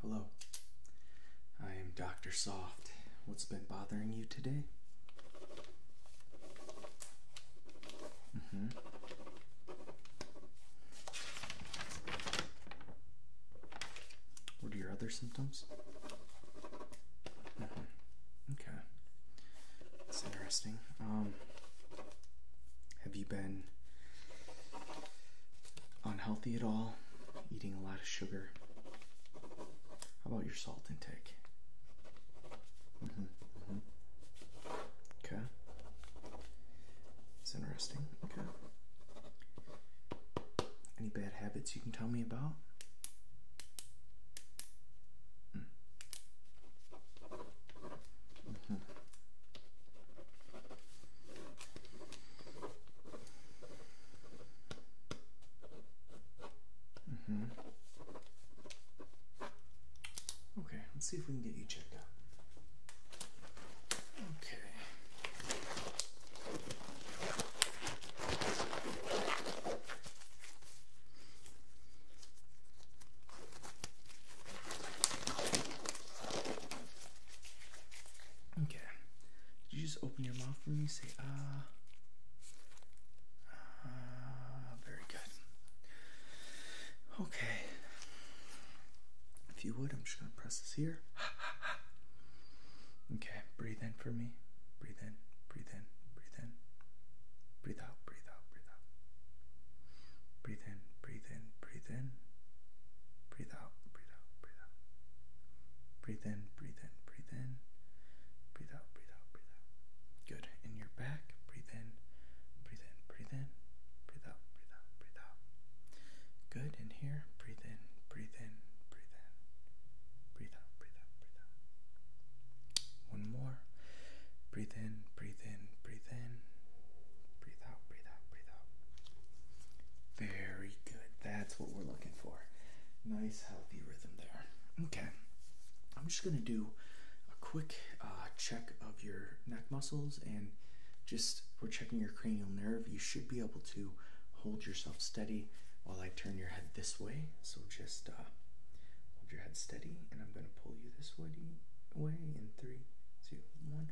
Hello, I am Dr. Soft. What's been bothering you today? Mm-hmm. What are your other symptoms? Mm-hmm. Okay, that's interesting. Um, have you been unhealthy at all? Eating a lot of sugar? How about your salt intake? Mm-hmm, mm-hmm. Okay. It's interesting. Okay. Any bad habits you can tell me about? Mm. -hmm. Mm -hmm. Okay, let's see if we can get you checked out. Okay. Okay. Did you just open your mouth for me? Say ah. Uh, very good. Okay. If you would, I'm just gonna press this here. okay. Breathe in for me. Breathe in. Breathe in. Breathe in. Breathe out. Breathe out. Breathe out. Breathe in, breathe in, breathe in. Breathe out, breathe out, breathe out. Breathe in, breathe in, breathe in. Breathe out, breathe out, breathe out. Good. In your back, breathe in, breathe in, breathe in. Breathe out, breathe out, breathe out. Good. In here, breathe in, breathe in, breathe in. Breathe out, breathe out, breathe out. One more. Breathe in, breathe in, breathe in. Breathe out, breathe out, breathe out. Very good. That's what we're looking for. Nice, healthy rhythm there. Okay. I'm just going to do a quick uh, check of your neck muscles and just we're checking your cranial nerve. You should be able to hold yourself steady while I turn your head this way. So just uh, hold your head steady and I'm going to pull you this way away in three, two, one.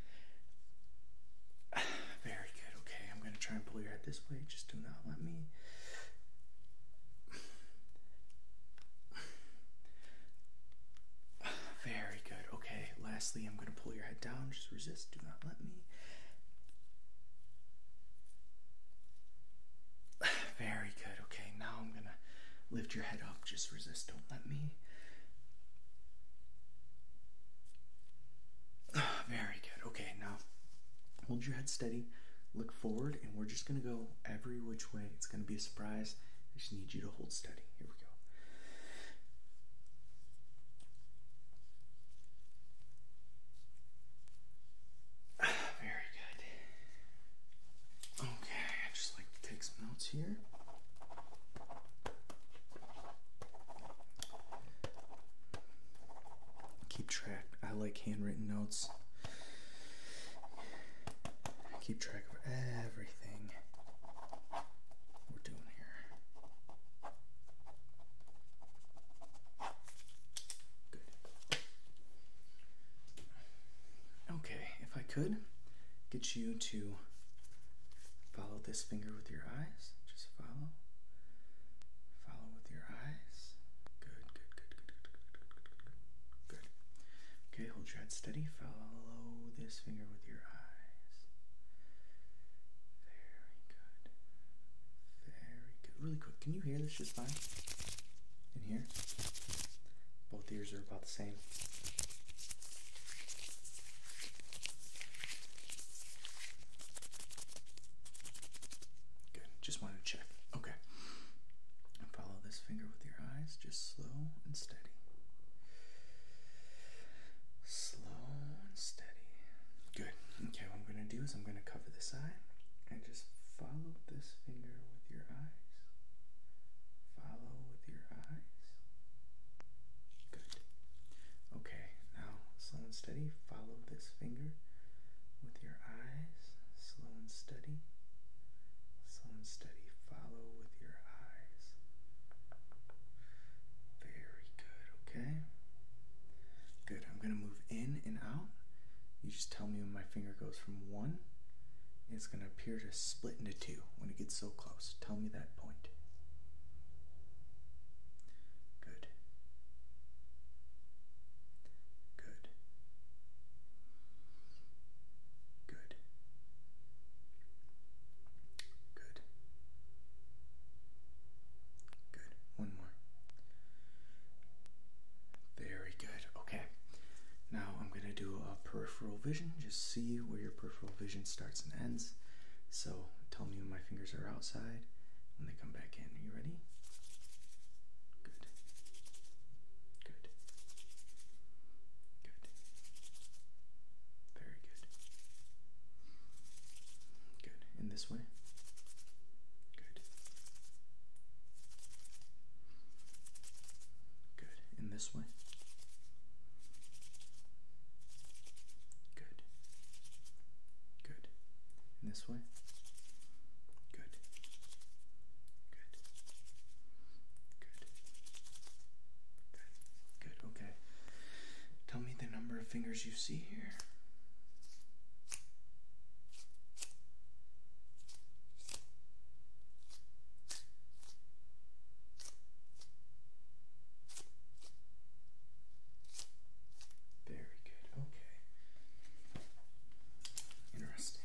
Very good. Okay, I'm gonna try and pull your head this way. Just do not let me. Very good. Okay, lastly, I'm gonna pull your head down. Just resist. Do not let me. Very good. Okay, now I'm gonna Lift your head up. Just resist. Don't let me. very good. Okay, now hold your head steady. Look forward, and we're just going to go every which way. It's going to be a surprise. I just need you to hold steady. Here we go. Very good. Okay, just like to take some notes here. Keep track. I like handwritten notes. Keep track of everything we're doing here. Good. Okay, if I could get you to follow this finger with your eyes, just follow. Follow with your eyes. Good, good, good, good, good, good, good, good, good. Okay, hold your head steady. Follow this finger with your eyes. Very good. Very good. Really quick. Can you hear this just fine? in here. Both ears are about the same. Good. Just wanted to check. Okay. follow this finger with your eyes, just slow and steady. Slow and steady. Good. Okay, what I'm going to do is I'm going to cover this eye and just follow this finger with your eyes. Follow with your eyes. Good. Okay, now slow and steady. Follow this finger with your eyes. Slow and steady. Slow and steady. Follow with your eyes. Very good, okay? Good. I'm going to move in and out. You just tell me when my finger goes from one it's going to appear to split into two when it gets so close. Tell me that point. Good. Good. Good. Good. Good. One more. Very good. Okay. Now I'm going to do a peripheral vision. Just see where your peripheral vision starts and ends. So tell me when my fingers are outside, when they come back in. Are you ready? Good. Good. Good. Very good. Good. In this way? Good. Good. In this way. Good. Good. In this way. Good. Good. Good. Good. Good. Okay. Tell me the number of fingers you see here. Very good. Okay. Interesting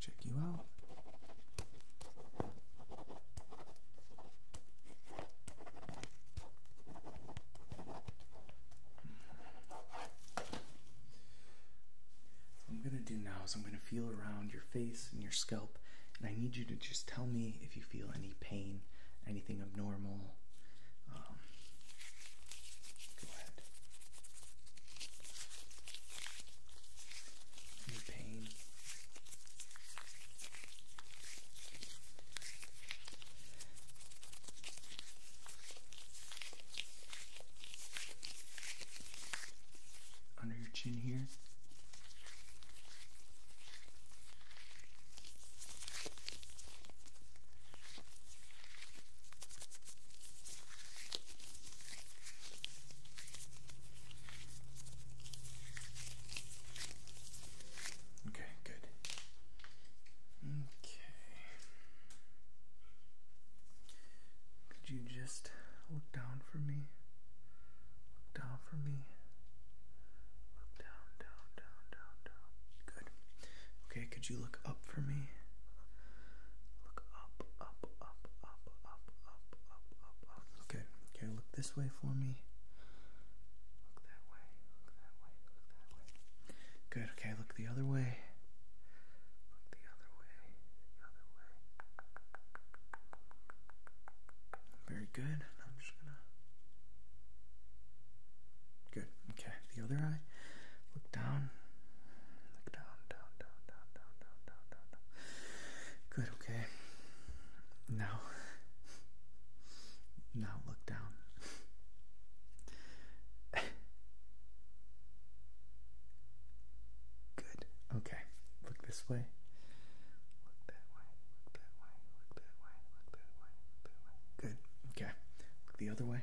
check you out. What I'm gonna do now is I'm gonna feel around your face and your scalp, and I need you to just tell me if you feel any pain, anything abnormal. Um, go ahead. Your pain. Under your chin here. Okay, good. Okay. Could you just look down for me? Look down for me. Look down, down, down, down, down. Good. Okay, could you look up for me? up, up, up, up, up, up, up, up, up. Okay, okay, look this way for me. Look that way, look that way, look that way. Good, okay, look the other way. Look the other way, the other way. Very good. I'm just gonna. Good, okay, the other eye. Look down. Look down, down, down, down, down, down, down, down, down. Good, okay. Now now look down. Good. Okay. Look this way. Look that way. Look that way. Look that way. Look that way. that way. Good. Okay. Look the other way.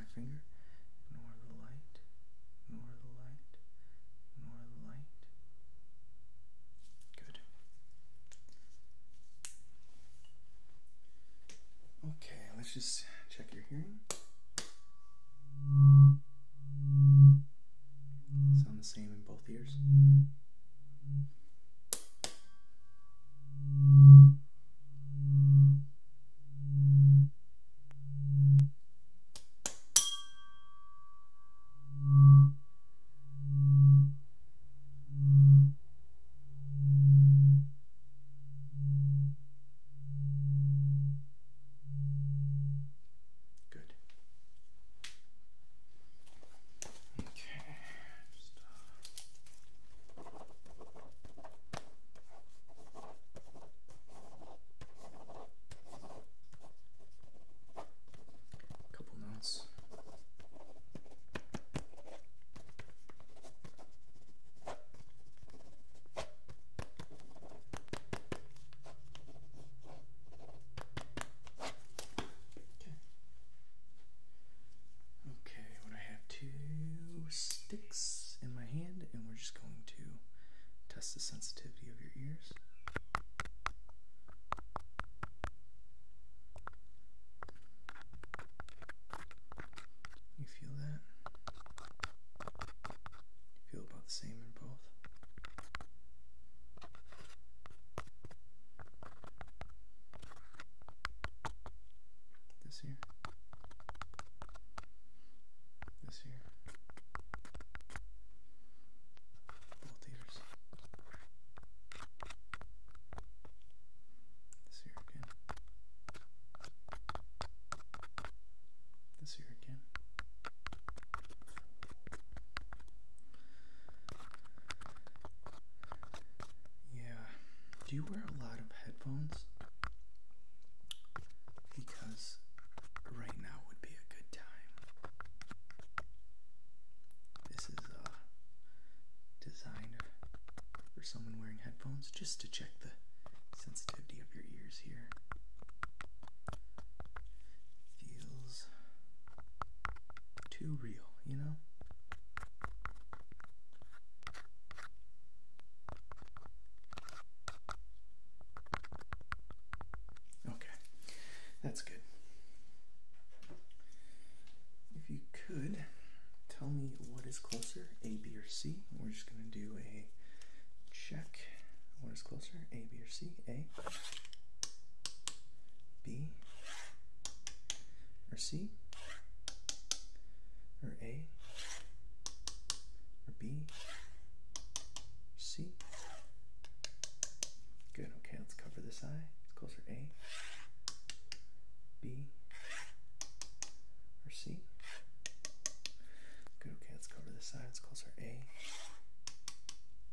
on my finger. Ignore the light. Ignore the light. Ignore the light. Good. Okay, let's just check your hearing. Sound the same in both ears. Good. Okay. Just, uh, Couple notes. Okay. Okay. Okay, I have two sticks in my hand, and we're just going to test the sensitivity of your ears. You feel that? feel about the same in both? This here? this here. Little theaters. This year again. This year again. Yeah, do you wear a lot of headphones? Because right now would be a good time. This is designed for someone wearing headphones just to check the sensitivity of your ears here. Feels too real, you know? Okay, that's good. If you could tell me what is closer, A, B, or C, we're just going to do a check. What is closer, A, B, or C? A, B, or C? or A or B or C. Good, okay, let's cover this eye. It's closer A, B, or C. Good, okay, let's cover this side. It's closer A,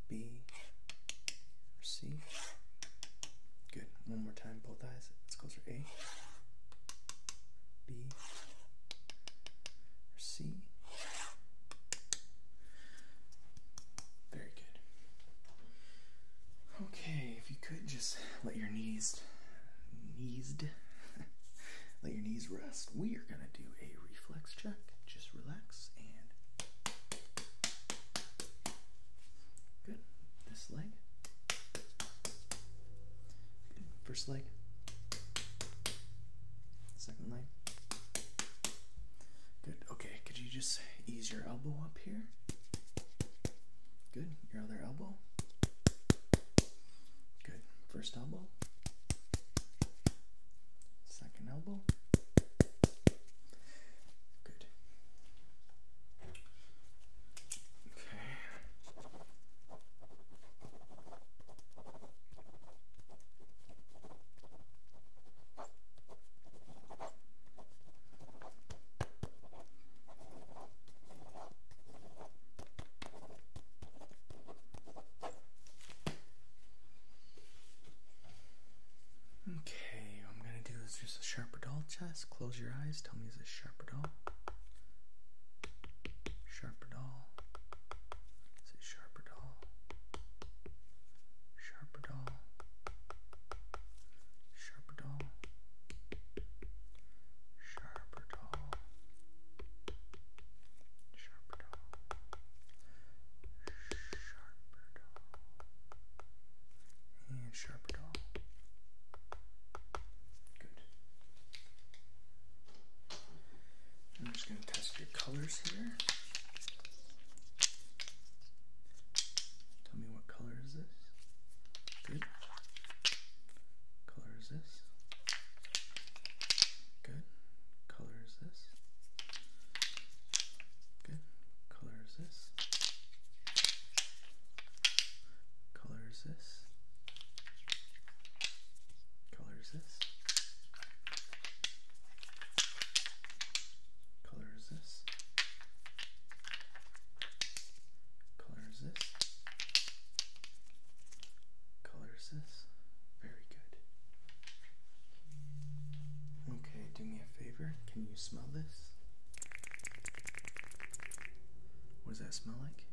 B, or C. Good, one more time both eyes. Let's go through A, B, or C. Very good. Okay, if you could just let your knees, knees, let your knees rest. We are gonna do a reflex check. Just relax and good. This leg. First leg, second leg. Good. Okay, could you just ease your elbow up here? Good. Your other elbow. Good. First elbow, second elbow. Good. Okay, what I'm gonna do is just a sharper doll dull test. Close your eyes, tell me is this sharp or dull? Sharperdoll. Is it Sharperdoll? Sharperdoll. Sharperdoll. Sharperdoll. Sharperdoll. Sharperdoll. And Sharperdoll. Good. I'm just going to test your colors here. Tell me what color is this? Good. Color is this? Good. Color is this? Good. Color is this? color is this? Color is this? Color is this? Color is this? Color is this? Very good. Okay, do me a favor. Can you smell this? What does that smell like?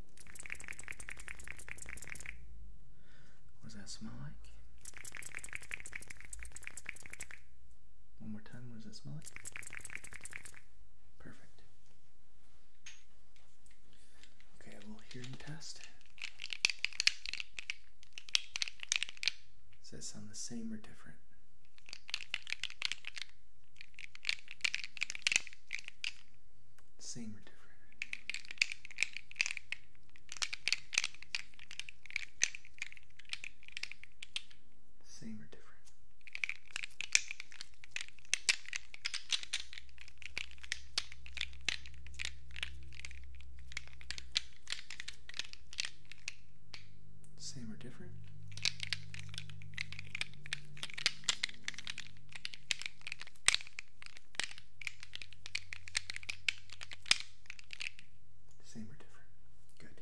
What does that smell like? One more time, what does that smell like? Perfect. Okay, a little hearing test. Does that sound the same or different? Same or different? Same or different? Same or different? Same or different? Good.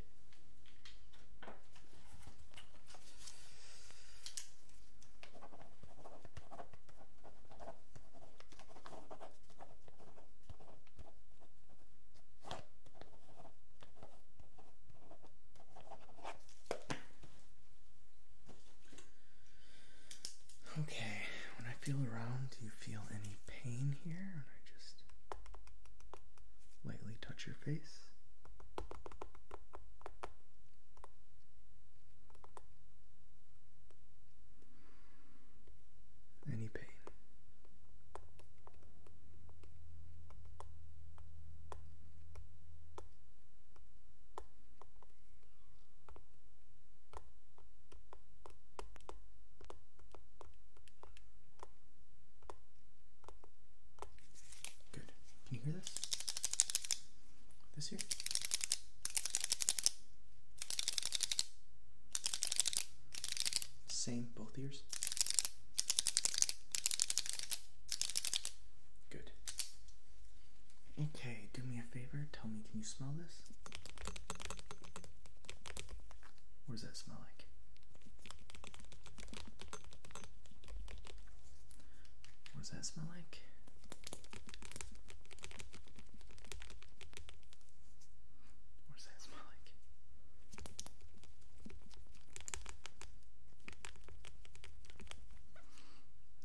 Okay, when I feel around, do you feel any pain here? And I just lightly touch your face. Any pain? Good. Can you hear this? This here? Same, both ears. Good. Okay, do me a favor. Tell me, can you smell this? What does that smell like? What does that smell like? What does that smell like?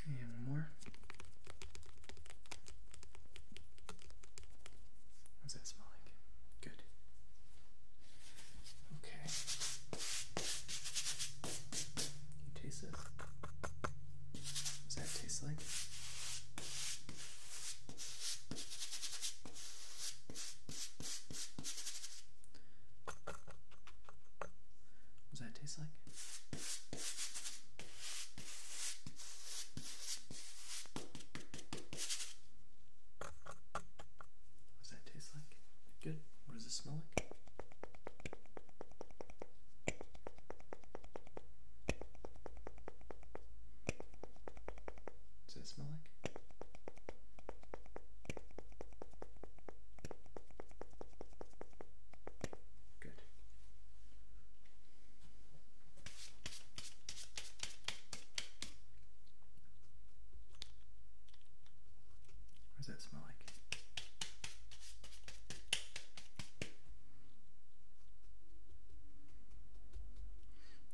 And one more. What's that smell like? Good. Okay. you taste it? What's that taste like? What's that taste like? What's that taste like? Good. What does it smell like? Does that smell like? Good. What does that smell like?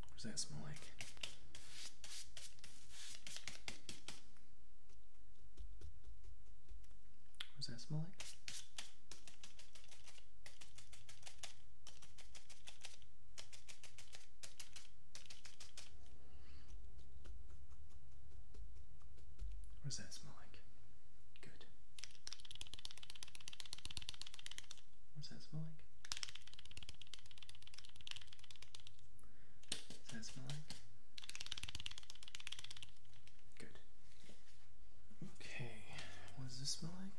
What does that smell like? What does that smell like? What does that smell like? Good. What does that smell like? What does that smell like? Good. Okay, what does this smell like?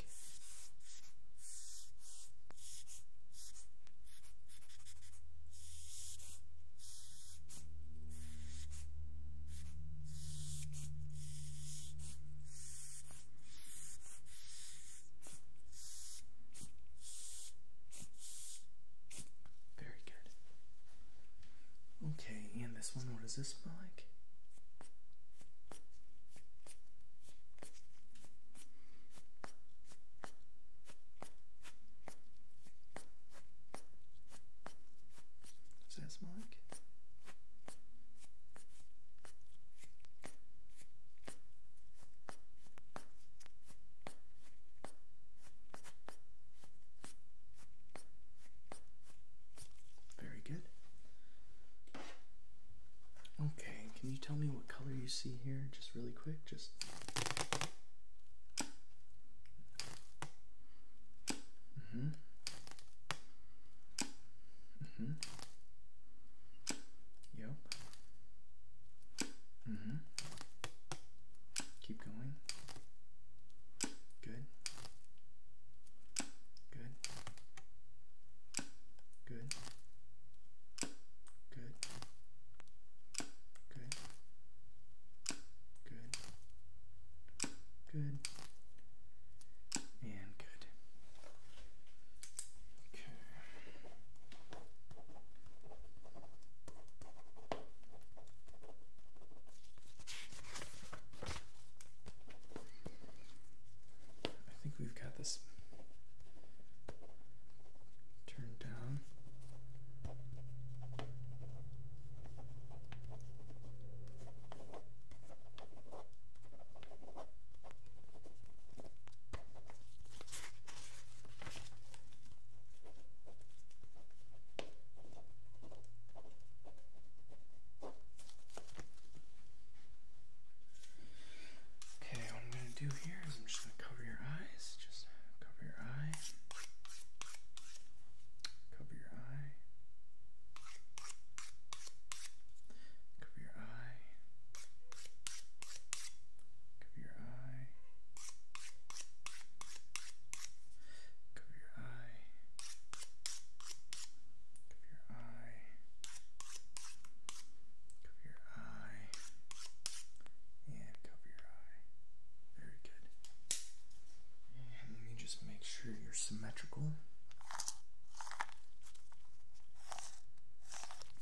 Very good. Okay, and this one, what does this smell like? Does that smell like? Very good. Okay, can you tell me what color you see here just really quick? Just Mhm. mhm. yep. Mhm. Keep going. Good. Good. Good. Good. Good. Good. Good. And good. Okay. I think we've got this turned down. Okay, what I'm going to do here is I'm just going to cover your eyes. Just cover your eye. Cover your eye. Cover your eye. Cover your eye. Cover your eye. Cover your eye. Cover your eye. And cover your eye. Very good. And let me just make sure you're symmetrical.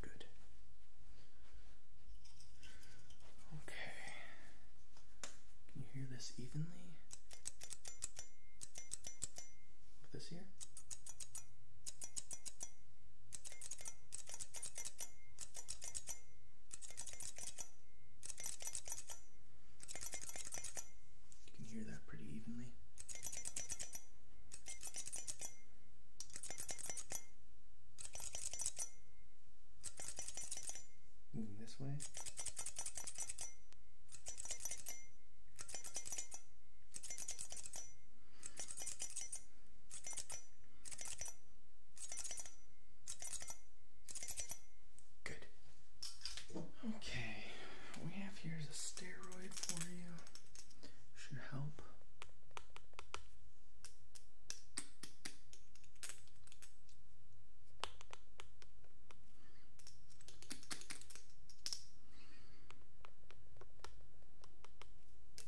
Good. Okay. Can you hear this evenly? With this here? You can hear that pretty evenly. Moving this way. Good. Okay, we have here is a steroid for you. Should help.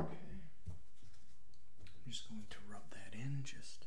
Okay. I'm just going to rub that in just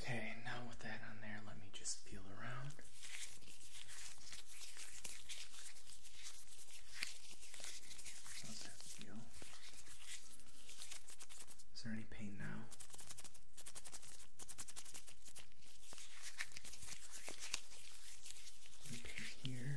Okay, now with that on there, let me just peel around. How's that feel? Is there any pain now? Any pain here?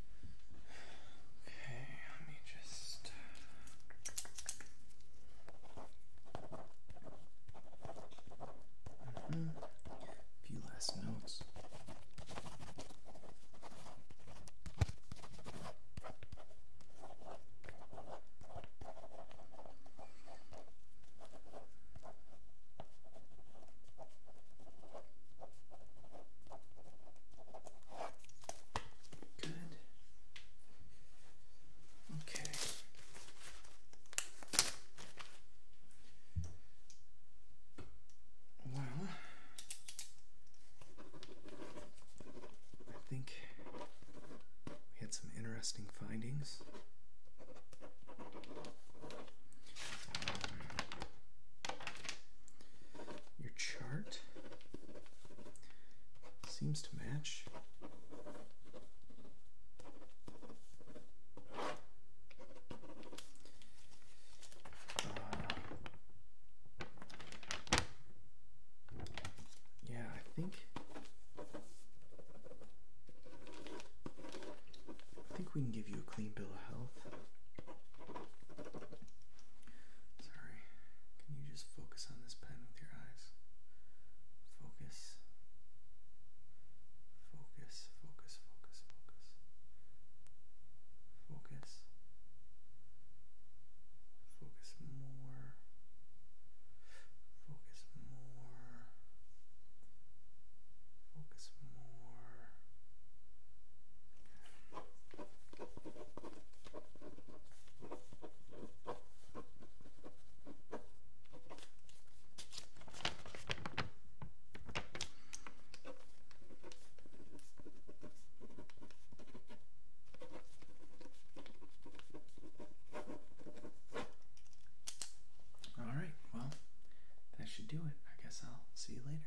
Okay, let me just. A few last notes. Good. Okay. Well, I think we had some interesting findings. your chart. Seems to match. Uh, yeah, I think I think we can give you a clean bill of health. Sorry, can you just focus on this pen with your eyes? Focus. Focus, focus, focus, focus. Focus. more. Focus more. Focus more. All right, well, that should do it. I guess I'll see you later.